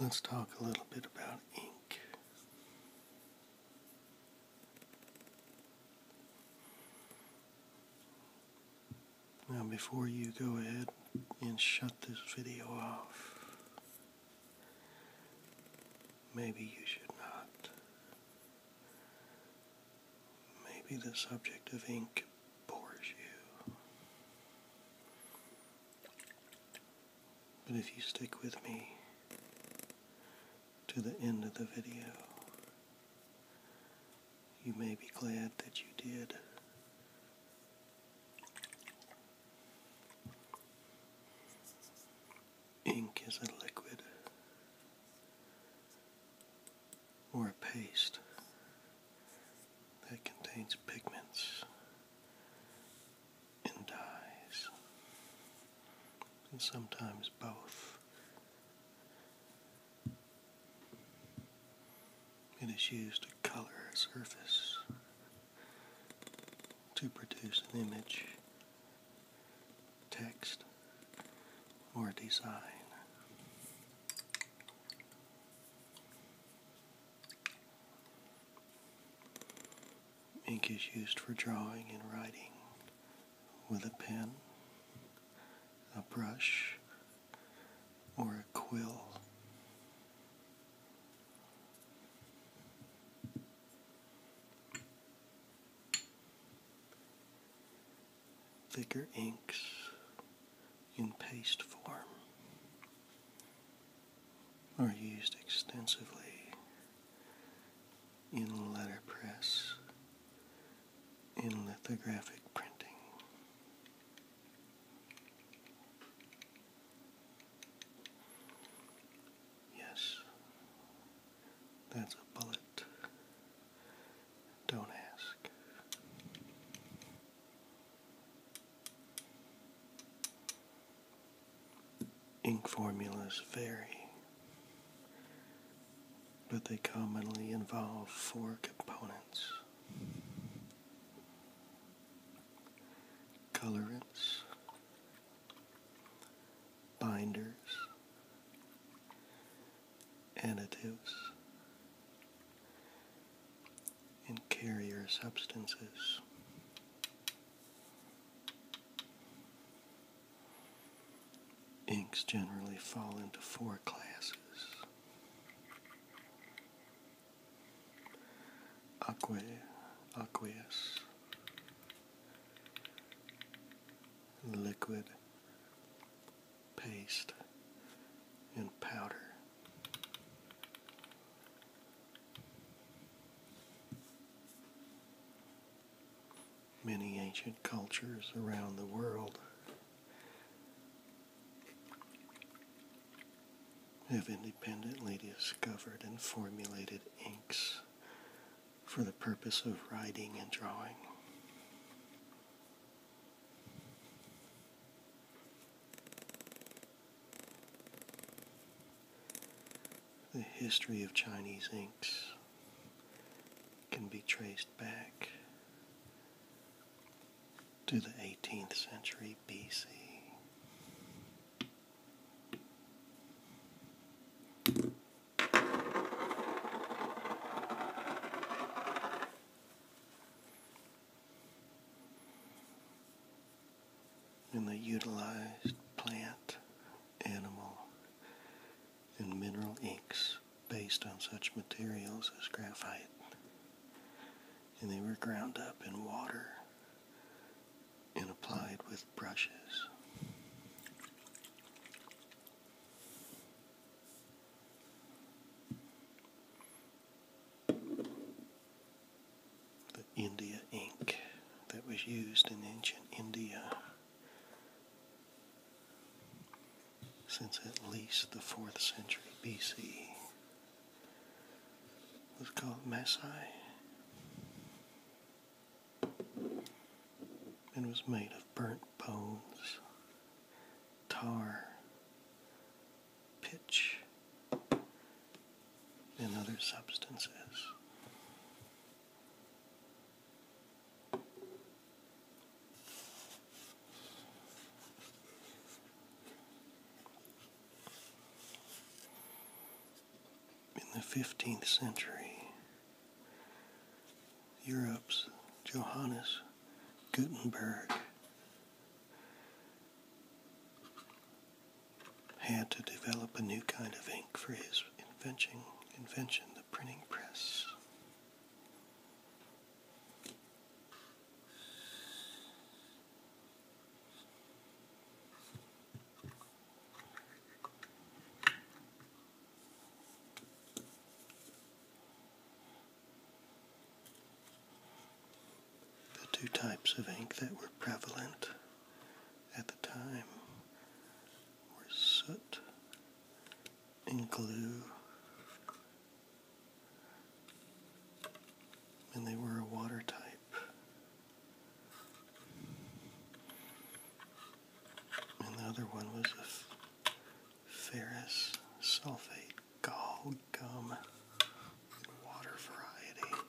Let's talk a little bit about ink. Now, before you go ahead and shut this video off, Maybe you should not. Maybe the subject of ink bores you. But if you stick with me to the end of the video, you may be glad that you did ink is a liquid or a paste that contains pigments and dyes, and sometimes both. It is used to color a surface to produce an image, text, or design. Ink is used for drawing and writing with a pen, a brush, or a quill thicker inks in paste form are used extensively in letterpress in lithographic printing. Yes, that's a bullet. Don't ask. Ink formulas vary, but they commonly involve four components colorants, binders, additives, and carrier substances. Inks generally fall into four classes aqueous, liquid, paste, and powder. Many ancient cultures around the world have independently discovered and formulated inks for the purpose of writing and drawing. The history of Chinese inks can be traced back to the 18th century BC and they utilized plant, animal, and mineral inks based on such materials as graphite. And they were ground up in water and applied with brushes. The India ink that was used in ancient India since at least the 4th century BC was called Masai and was made of burnt bones, tar, pitch, and other substances. In the 15th century, Europe's Johannes Gutenberg had to develop a new kind of ink for his invention, invention the printing press. The two types of ink that were prevalent at the time were soot and glue and they were a water type. And the other one was a ferrous sulfate gall gum water variety.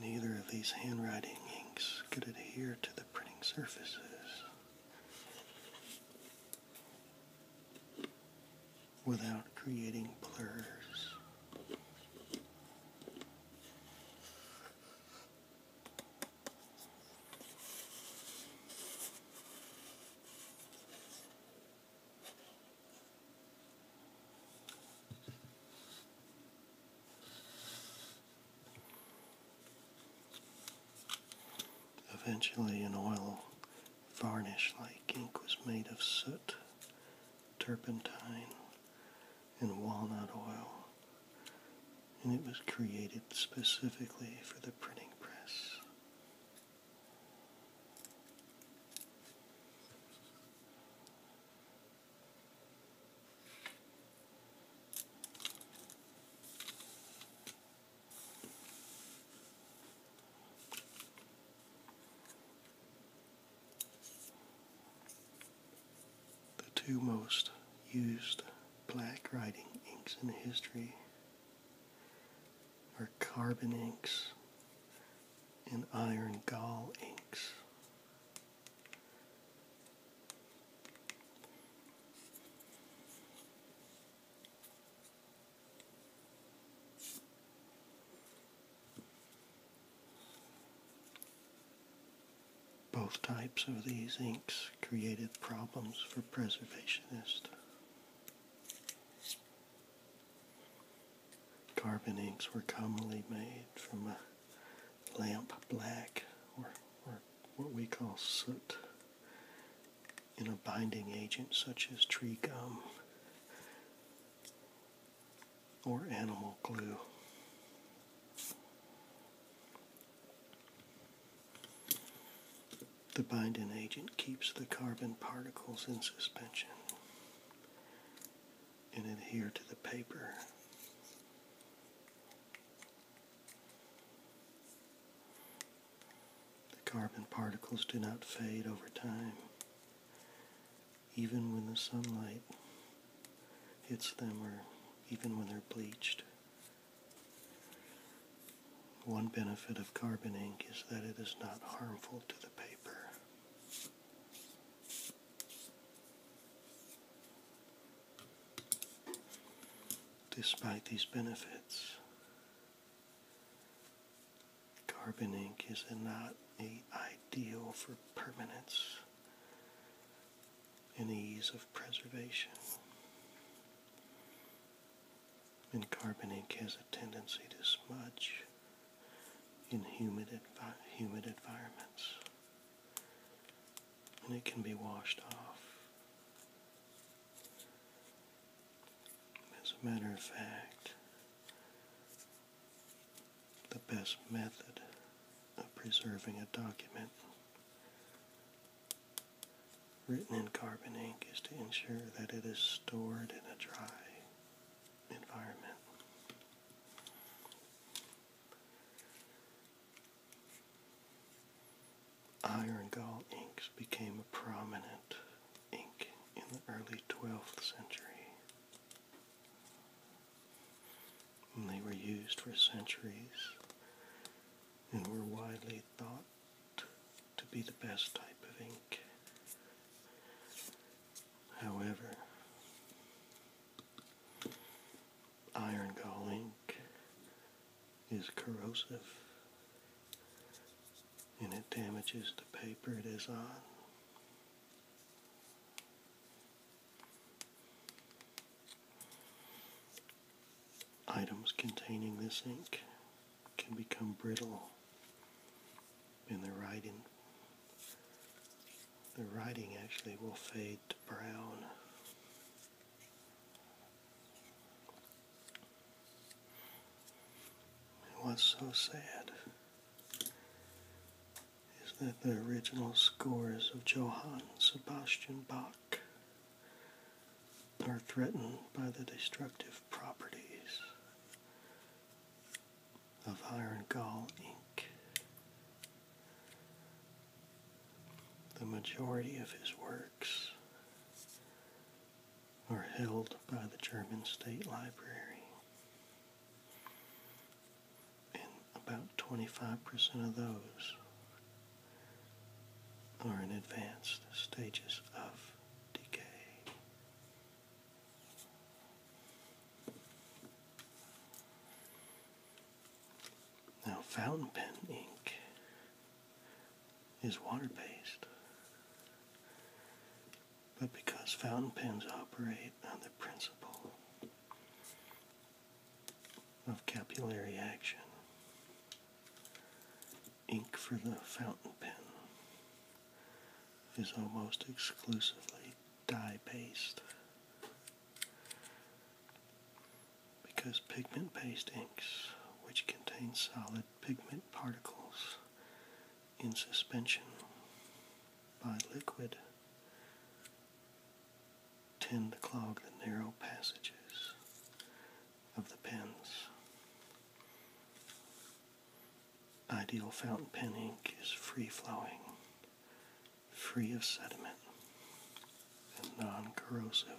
Neither of these handwriting inks could adhere to the printing surfaces. Without creating blurs. Eventually, an oil varnish like ink was made of soot, turpentine, and walnut oil, and it was created specifically for the printing press. The two most used black writing inks in history are carbon inks and iron gall inks. Both types of these inks created problems for preservationists. Carbon inks were commonly made from a lamp black or, or what we call soot in a binding agent such as tree gum or animal glue the binding agent keeps the carbon particles in suspension and adhere to the paper. The carbon particles do not fade over time, even when the sunlight hits them or even when they're bleached. One benefit of carbon ink is that it is not harmful to the paper. Despite these benefits, carbon ink is not a ideal for permanence and ease of preservation and carbon ink has a tendency to smudge in humid, humid environments and it can be washed off. As a matter of fact, the best method of preserving a document written in carbon ink is to ensure that it is stored in a dry environment. Iron gall inks became a prominent ink in the early 12th century. And they were used for centuries and were widely thought to be the best type of ink. However, iron gall ink is corrosive and it damages the paper it is on items containing this ink can become brittle and the writing the writing actually will fade to brown. And what's so sad is that the original scores of Johann Sebastian Bach are threatened by the destructive properties of iron gall ink. The majority of his works are held by the German State Library, and about 25% of those are in advanced stages of decay. Now, fountain pen ink is water based, but because fountain pens operate on the principle of capillary action, Ink for the fountain pen is almost exclusively dye based because pigment based inks, which contain solid pigment particles in suspension by liquid, tend to clog the narrow passages of the pens. Ideal fountain pen ink is free flowing, free of sediment, and non corrosive.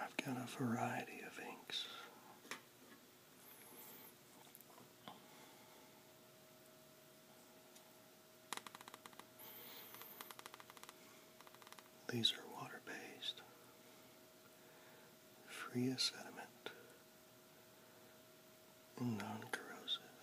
I've got a variety of inks. These are water-based, free of sediment, non corrosive.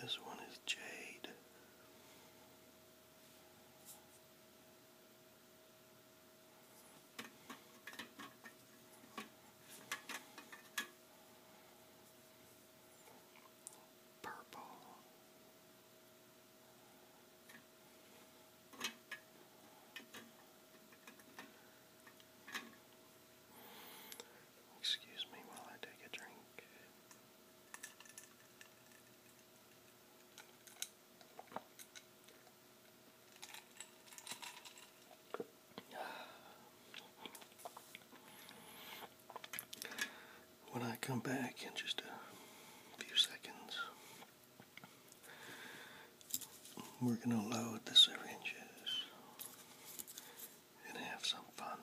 This one is jade. Purple. Excuse me while I take a drink. When I come back in just a few seconds, we're going to load the syringes and have some fun.